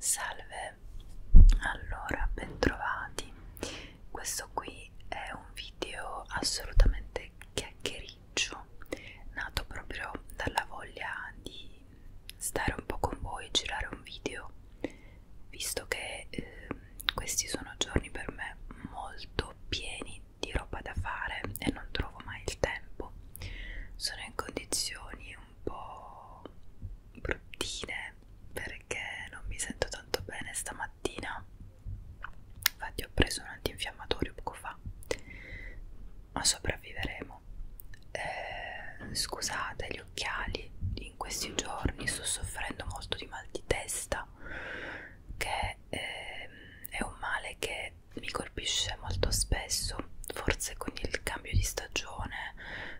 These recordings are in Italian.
Salve, allora bentrovati. Questo qui è un video assolutamente chiacchiericcio, nato proprio dalla voglia di stare un po' con voi, girare un video, visto che eh, questi sono giorni per me molto pieni di roba da fare e non trovo mai il tempo. Sono in condizioni un po' bruttine perché non mi sento tanto bene stamattina. Infatti, ho preso un antinfiammatorio poco fa, ma sopravviveremo. Eh, scusate gli occhiali, in questi giorni sto soffrendo molto di mal di testa che perché eh, è un male che mi colpisce molto spesso, forse con il cambio di stagione,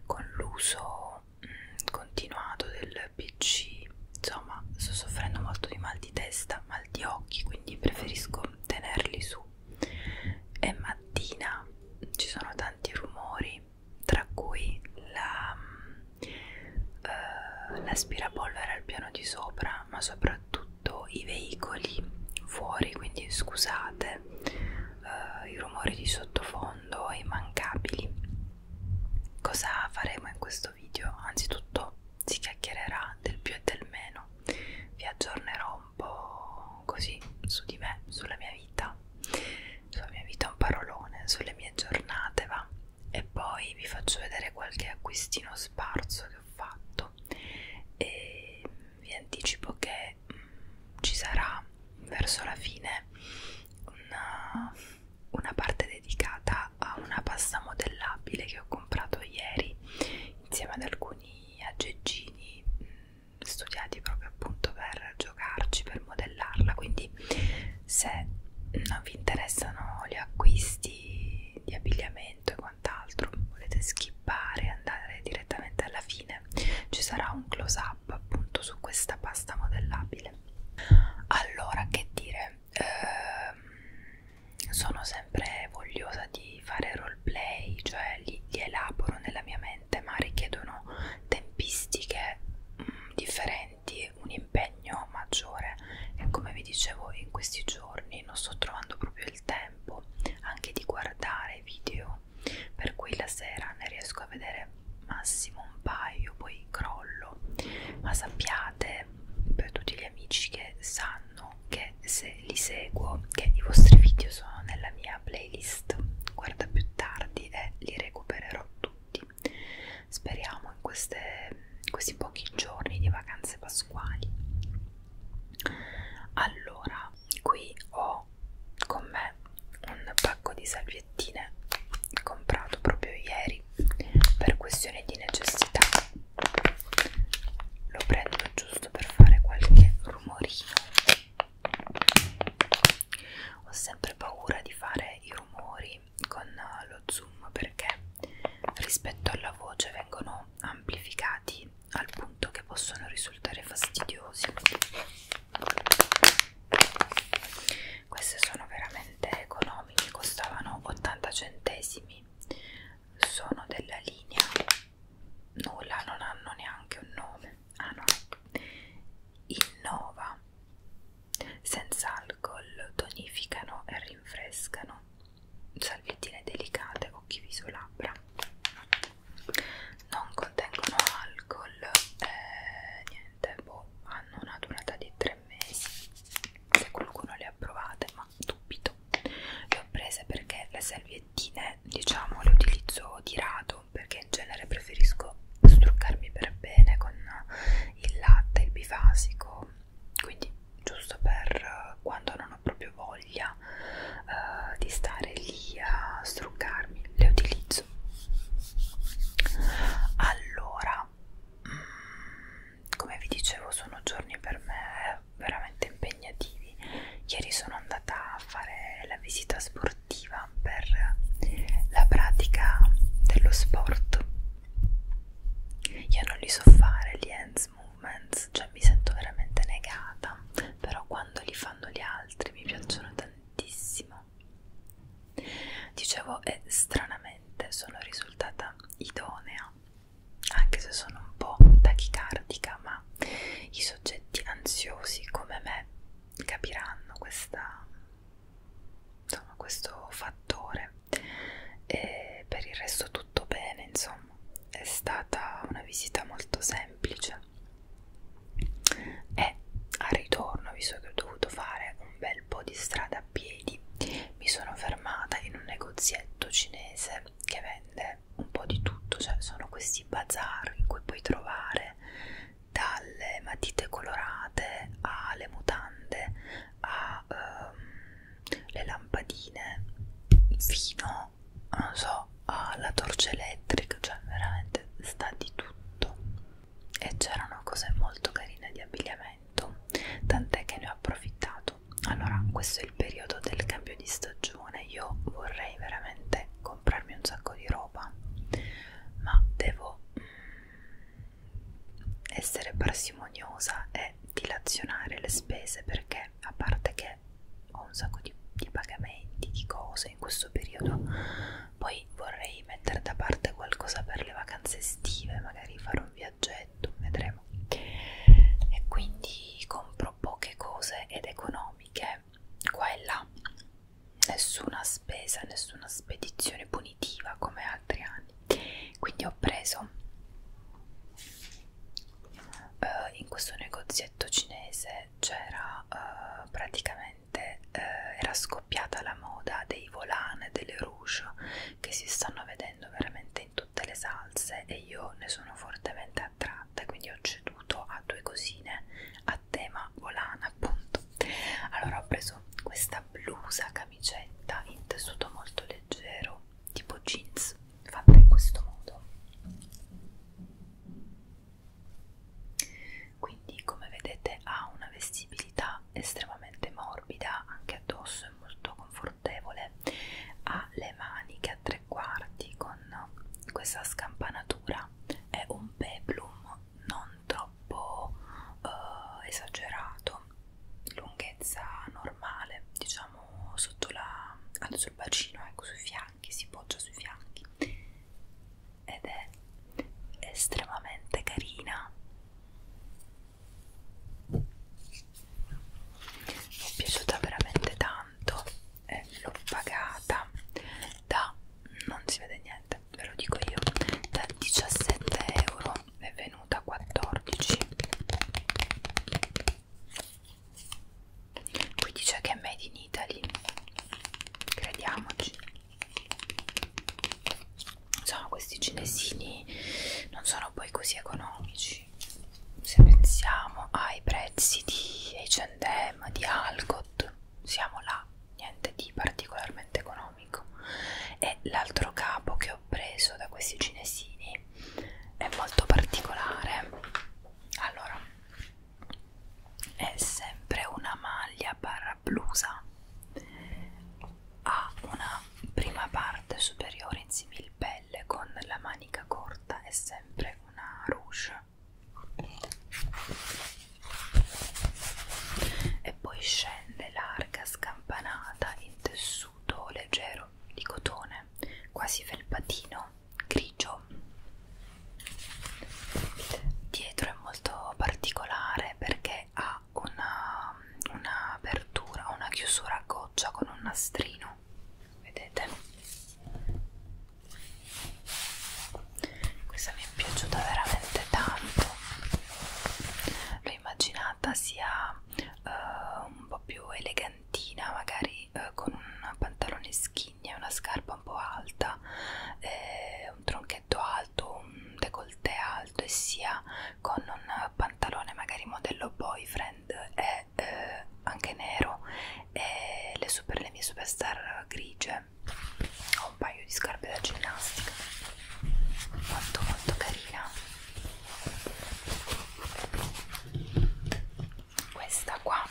con l'uso mm, continuato del PC, insomma sto soffrendo molto di mal di testa, mal di occhi, quindi preferisco tenerli su. E mattina ci sono tanti rumori, tra cui la mm, uh, l'aspirapolvere al piano di sopra ma soprattutto i veicoli fuori quindi scusate uh, i rumori di sottofondo immancabili cosa faremo in questo video anzitutto si chiacchiererà del più e del meno vi aggiornerò un po' così su di me sulla mia vita sulla mia vita un parolone sulle mie giornate va e poi vi faccio vedere qualche acquistino sparso che ho fatto e vi anticipo che mh, mm, ci sarà verso la fine una, una parte dedicata a una pasta modellabile che ho comprato ieri insieme ad alcuni aggeggini mh, mm, studiati proprio appunto per giocarci per modellarla quindi se non vi interessano gli acquisti di abbigliamento e quant'altro, volete skippare e andare direttamente alla fine, ci sarà un close up appunto su questa pasta modellabile. Allora, che dire, eh, sono sempre vogliosa di fare roleplay, cioè li, li elaboro nella mia mente, ma richiedono tempistiche mh, mm, differenti metti un impegno maggiore e come vi dicevo in questi giorni non sto trovando proprio il tempo anche di guardare video per cui la sera ne riesco a vedere massimo un paio poi crollo ma sappiate per tutti gli amici che sanno che se li seguo che i vostri video sono nella mia playlist guarda più tardi e li recupererò tutti Uniti. Speriamo in, queste, in questi pochi giorni di vacanze pasquali. Allora, qui ho con me un pacco di salviettine comprato proprio ieri per questione di necessità. Lo prendo giusto per fare qualche rumorino. Ho sempre paura di fare i rumori quindi con eh, lo zoom perché rispetto alla voce vengono amplificati al punto che possono risultare fastidiosi queste sono veramente economiche costavano 80 centesimi sono della linea nulla non hanno neanche un nome ah no innova senza alcol tonificano e rinfrescano salviettine delicate occhi viso labbra non contengono alcol eh, niente boh, hanno una durata di 3 mesi se qualcuno le ha provate ma dubito le ho prese perché le salviettine diciamo le utilizzo di rado perché in genere preferisco struccarmi per bene con il latte, il bifasico, quindi giusto per eh, quando non ho proprio voglia uh, di stare lì a struccarmi, le utilizzo. Allora, mh, mm, come vi dicevo, sono giorni per me veramente impegnativi. Ieri sono andata a fare la visita sportiva per la pratica dello sport io non li so fare gli hands movements, cioè mi sento veramente negata, però quando li fanno gli altri mi piacciono tantissimo. Dicevo, e stranamente sono risultata idonea, anche se sono un po' tachicardica, ma i soggetti ansiosi come me capiranno questa insomma questo fattore e per il resto tutto bene insomma è stata una visita molto semplice e a ritorno visto che ho dovuto fare un bel po' di strada a piedi mi sono fermata in un negozietto cinese che vende un po' di tutto cioè sono questi bazar in cui puoi trovare dalle matite colorate alle mutande ghirlande a um, ehm, le lampadine fino non so alla torcia elettrica cioè veramente sta di tutto e c'erano cose molto carine di abbigliamento tant'è che ne ho approfittato allora questo è il periodo del cambio di stagione io vorrei veramente comprarmi un sacco di roba ma devo mm, essere parsimoniosa e dilazionare le spese perché a parte che ho un sacco di, di pagamenti, di cose in questo periodo, poi vorrei mettere da parte qualcosa per le vacanze estive, magari fare un viaggetto, vedremo. E quindi compro poche cose ed economiche qua e là, nessuna spesa, nessuna spedizione punita definitiva come altri anni quindi ho preso eh, in questo negozietto cinese c'era eh, praticamente eh, era scoppiata la moda dei volane delle rouge che si stanno vedendo veramente in tutte le salse e io ne sono fortemente attratta quindi ho ceduto a due cosine a tema volana appunto allora ho preso questa questa blusa camicetta in tessuto molto leggero tipo jeans fatta in questo modo quindi come vedete ha una vestibilità estremamente morbida anche addosso è molto confortevole ha le maniche a tre quarti con questa scampanatura è un peplum non troppo troppo eh, esagerato, lunghezza normale, diciamo sotto la, sul bacino, ecco sui fianchi, si poggia sui fianchi ed è estremamente carina. Mi è piaciuta veramente tanto e l'ho pagata da non si vede niente ve lo dico io da 17 euro è venuta 14 qui dice che è made in Italy crediamoci insomma questi cinesini non sono poi così economici se pensiamo ai prezzi di H&M, di Alcott siamo là, niente di particolarmente economico economico e l'altro capo che ho preso da questi cinesini è molto particolare allora è sempre una maglia barra blusa ha una prima parte superiore in similpelle con la manica corta e sempre una rouge e poi scende larga scampanata in tessuto leggero di cotone quasi felpatino grigio dietro è molto particolare perché ha una, una apertura una chiusura a goccia con un nastrino vedete questa mi è piaciuta veramente tanto l'ho immaginata sia uh, un po' più elegantina magari uh, con un pantalone skinny una scarpa un po' alta eh, un tronchetto alto un décolleté alto e sia con un pantalone magari modello boyfriend e eh, anche nero e le, super, le mie superstar grigie scarpe ho un paio di scarpe da ginnastica molto molto carina questa qua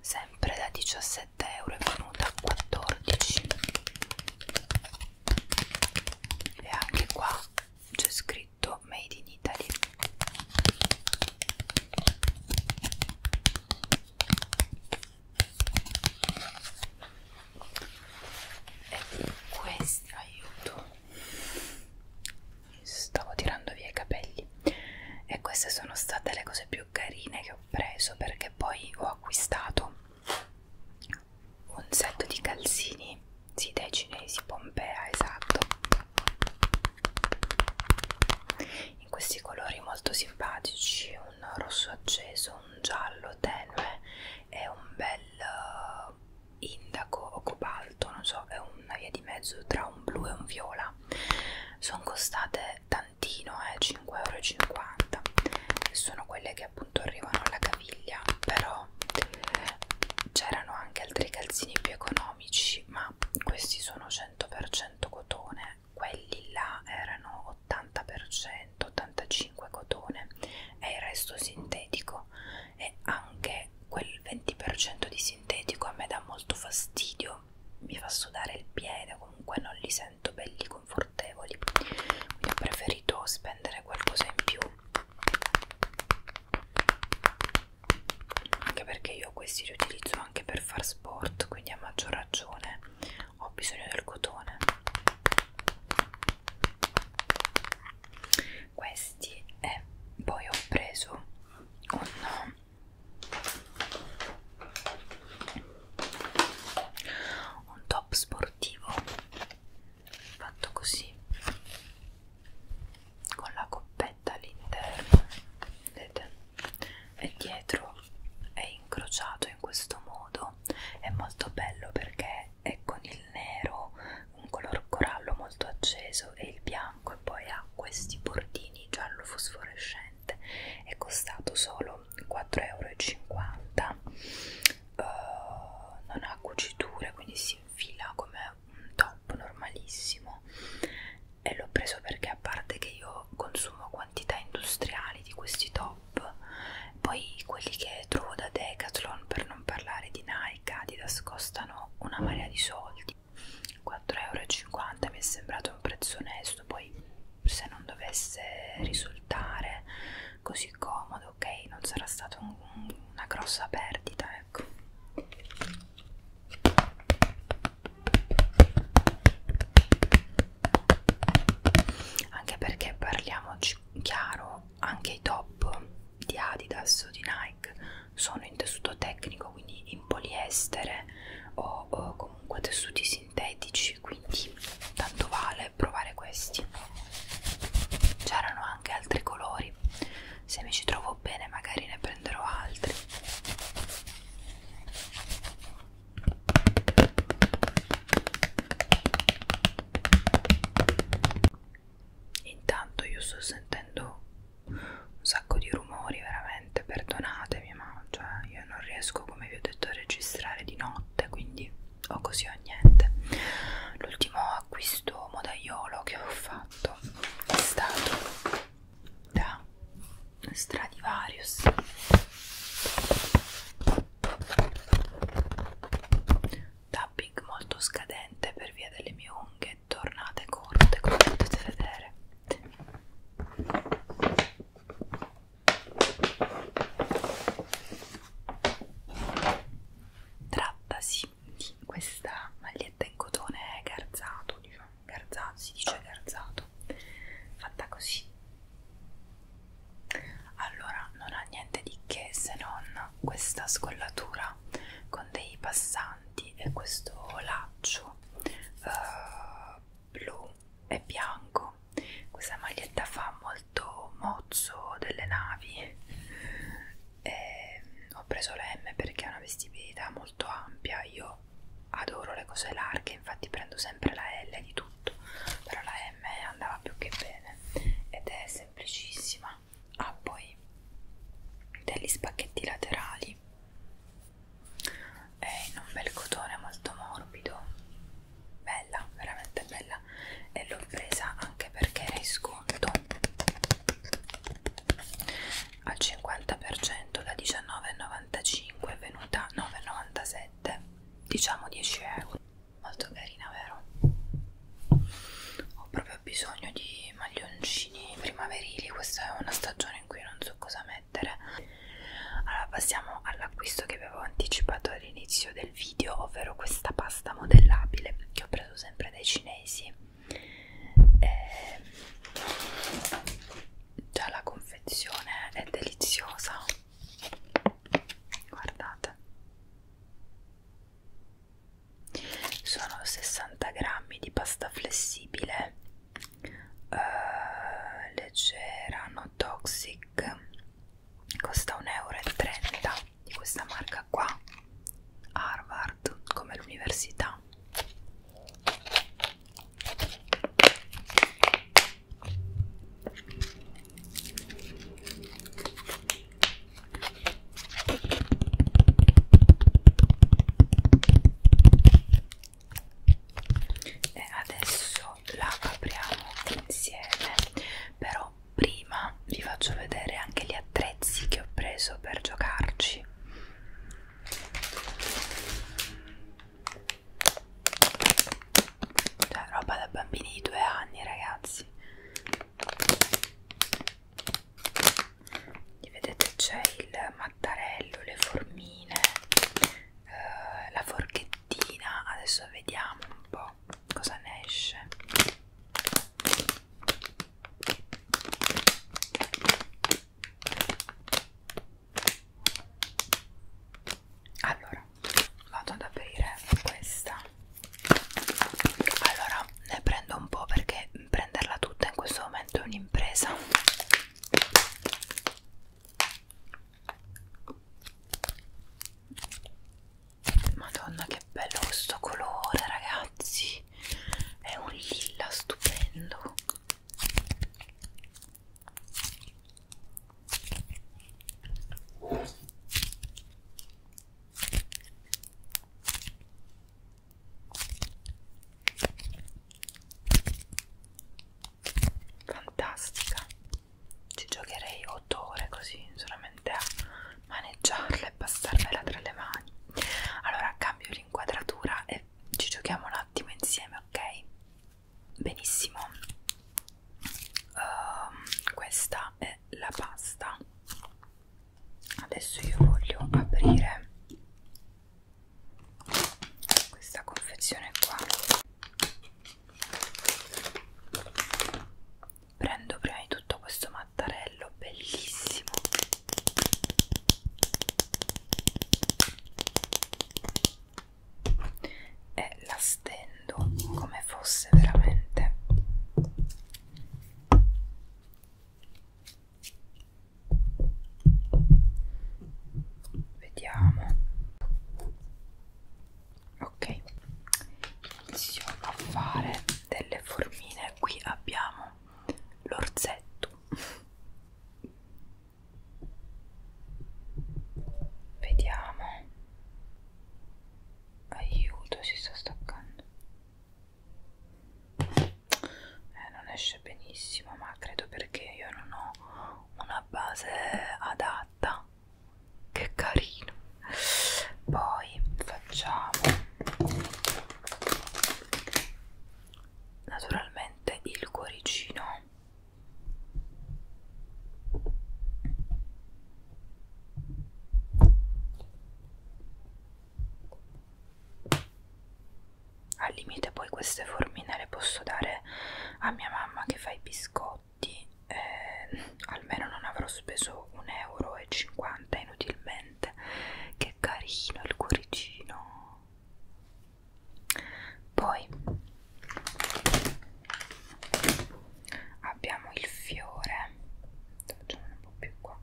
sempre da 17 euro è venuta a 14 e anche qua c'è scritto made in Italy e questi aiuto stavo tirando via i capelli e queste sono state le cose più carine che ho preso perché poi ho acquistato un set di calzini sì, dai cinesi Pompea esatto in questi colori molto simpatici un rosso acceso un giallo tenue e un bel eh, indaco o cobalto, non so, è una via di mezzo tra un blu e un viola. Sono costate tantino, eh, 5,50 euro. Sono quelle che appunto arrivano alla caviglia, però c'erano anche altri calzini più economici, ma questi sono 100% cotone quelli là erano 80%, 85% cotone e il resto sintetico e anche quel 20% di sintetico a me dà molto fastidio, mi fa sudare il piede, comunque non li sento belli confortevoli, quindi ho preferito spendere qualcosa in più anche perché io questi li utilizzo anche per far sport quindi a maggior ragione ho bisogno del cotone questi e poi ho preso un un top sportivo fatto così con la coppetta all'interno vedete e dietro è incrociato fatto in questo modo è molto bello perché è con il nero un color corallo molto acceso e il bianco e poi ha questi bordini giallo fosforescente è costato solo 4,50 euro uh, non ha cuciture quindi si infila come un top normalissimo e l'ho preso perché a parte che io io consumo quantità industriali di questi top poi quelli che trovo da Decathlon per non parlare di Nike Adidas costano una marea di soldi 4,50€ mi è sembrato un prezzo onesto poi se non dovesse risultare così comodo ok non sarà stata un, una grossa perdita ecco anche perché parliamoci chiaro anche i top di Adidas o di Nike sono in tessuto tecnico quindi in poliestere o, o comunque tessuti sintetici quindi tanto vale provare questi c'erano anche altri colori se mi ci trovo bene magari ne prenderò altri Intanto io sto sentendo un sacco di rumori, veramente, perdonatemi, ma cioè io non riesco, come vi ho detto, a registrare di notte, quindi o così o niente. L'ultimo acquisto modaiolo che ho fatto è stato da Stradivarius tapping molto scadente per via delle mie unghie tornate corte come potete vedere trattasi di questa maglietta in cotone garzato diciamo garzato si dice garzato fatta così allora non ha niente di che se non questa scollatura con dei passanti e questo laccio uh, blu e bianco. Questa maglietta fa molto mozzo delle navi. E ho preso la M perché ha una vestibilità molto ampia. Io io adoro le cose larghe, infatti prendo sempre la L di tutto, però la M andava più che bene ed è semplicissima. Ha poi degli spacchetti laterali, è in un bel cotone molto morbido, bella, veramente bella e l'ho presa anche perché era in sconto al 50% da 19,95 è venuta 9,97 7 diciamo 10 euro molto carina vero ho proprio bisogno di maglioncini primaverili questa è una stagione in cui non so cosa mettere allora passiamo all'acquisto che avevo anticipato all'inizio del video ovvero questa pasta modellabile che ho preso sempre dai cinesi e... Ehm, già la confezione è deliziosa guardate sono 60 grammi di pasta flessibile uh, leggera no toxic costa 1,30 euro di questa marca qua Harvard come l'università e adesso la apriamo insieme però prima vi faccio vedere anche gli attrezzi che ho preso per giocarci cioè roba da bambini di due anni ragazzi e Vedete c'è il mattarello, le formine, eh, la forchettina Adesso vediamo un po' cosa ne esce allora vado ad aprire questa allora ne prendo un po' perché prenderla tutta in questo momento è un'impresa madonna che bello questo colore ragazzi è un lilla stupendo Fantastica, ci giocherei 8 ore così solamente a maneggiarla e passarmela tra le mani. Allora cambio l'inquadratura e ci giochiamo un attimo insieme, ok? benissimo uh, questa è la pasta adesso io voglio aprire questa confezione qua prendo prima di tutto questo mattarello bellissimo e la stendo come fosse veramente vediamo ok iniziamo a fare delle formine qui abbiamo l'orzetto Vediamo. Aiuto, si sta staccando. Eh, non esce benissimo, ma credo perché io non ho una base adatta. Che carino. Poi facciamo naturalmente il cuoricino al limite poi queste formine le posso dare a mia mamma che fa i biscotti, eh, almeno non avrò speso 1,50 euro inutilmente. Che carino il cuoricino! poi abbiamo il fiore facciamo un po' più qua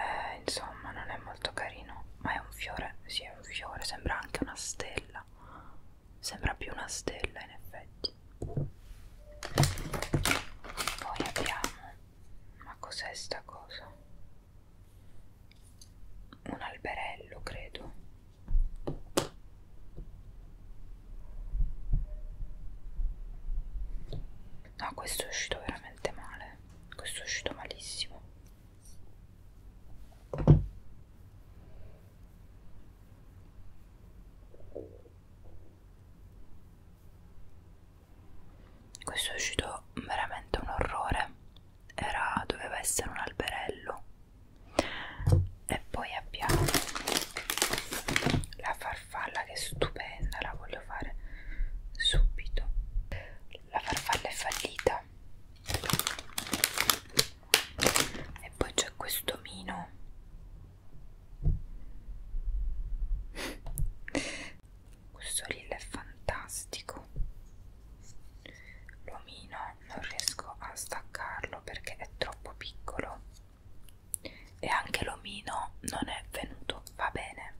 eh, insomma non è molto carino ma è un fiore, sì è un fiore, sembra anche una stella sembra più una stella in effetti poi abbiamo ma cos'è sta cosa un alberello credo no questo è uscito veramente male questo è uscito malissimo questo è uscito veramente un orrore. Era, doveva essere un alberello. E poi abbiamo la farfalla che è stupenda, la voglio fare subito. La farfalla è fallita. E poi c'è questo mino questo reel è fantastico. L'omino non riesco a staccarlo perché è troppo piccolo. E anche l'omino non è venuto. Va bene.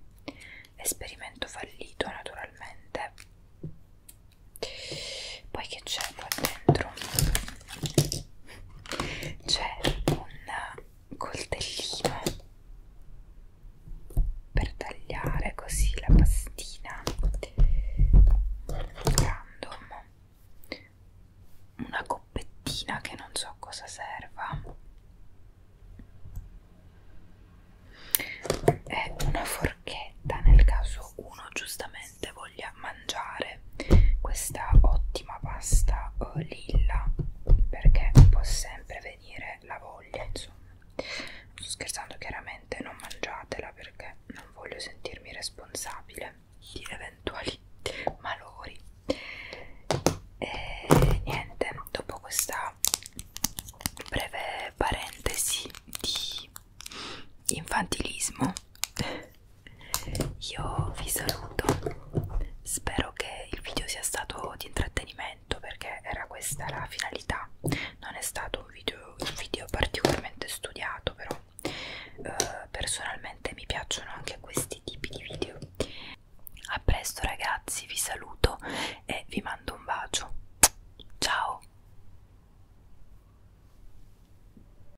Esperimento fallito naturalmente. Poi che c'è qua dentro? c'è un coltellino per tagliare così la pastina random una coppettina che non so cosa serva è una forchetta nel caso uno giustamente veramente voglia mangiare questa ottima pasta uh, lilla perché può sempre venire la voglia insomma sto scherzando chiaramente non mangiatela perché non voglio sentirmi responsabile di eventuali malori e niente dopo questa breve parentesi di infantilismo io vi saluto spero che il video sia stato di intrattenimento perché era questa la finalità non è stato un video, un video particolarmente studiato però eh, personalmente mi piacciono anche questi tipi di video a presto ragazzi vi saluto e vi mando un bacio ciao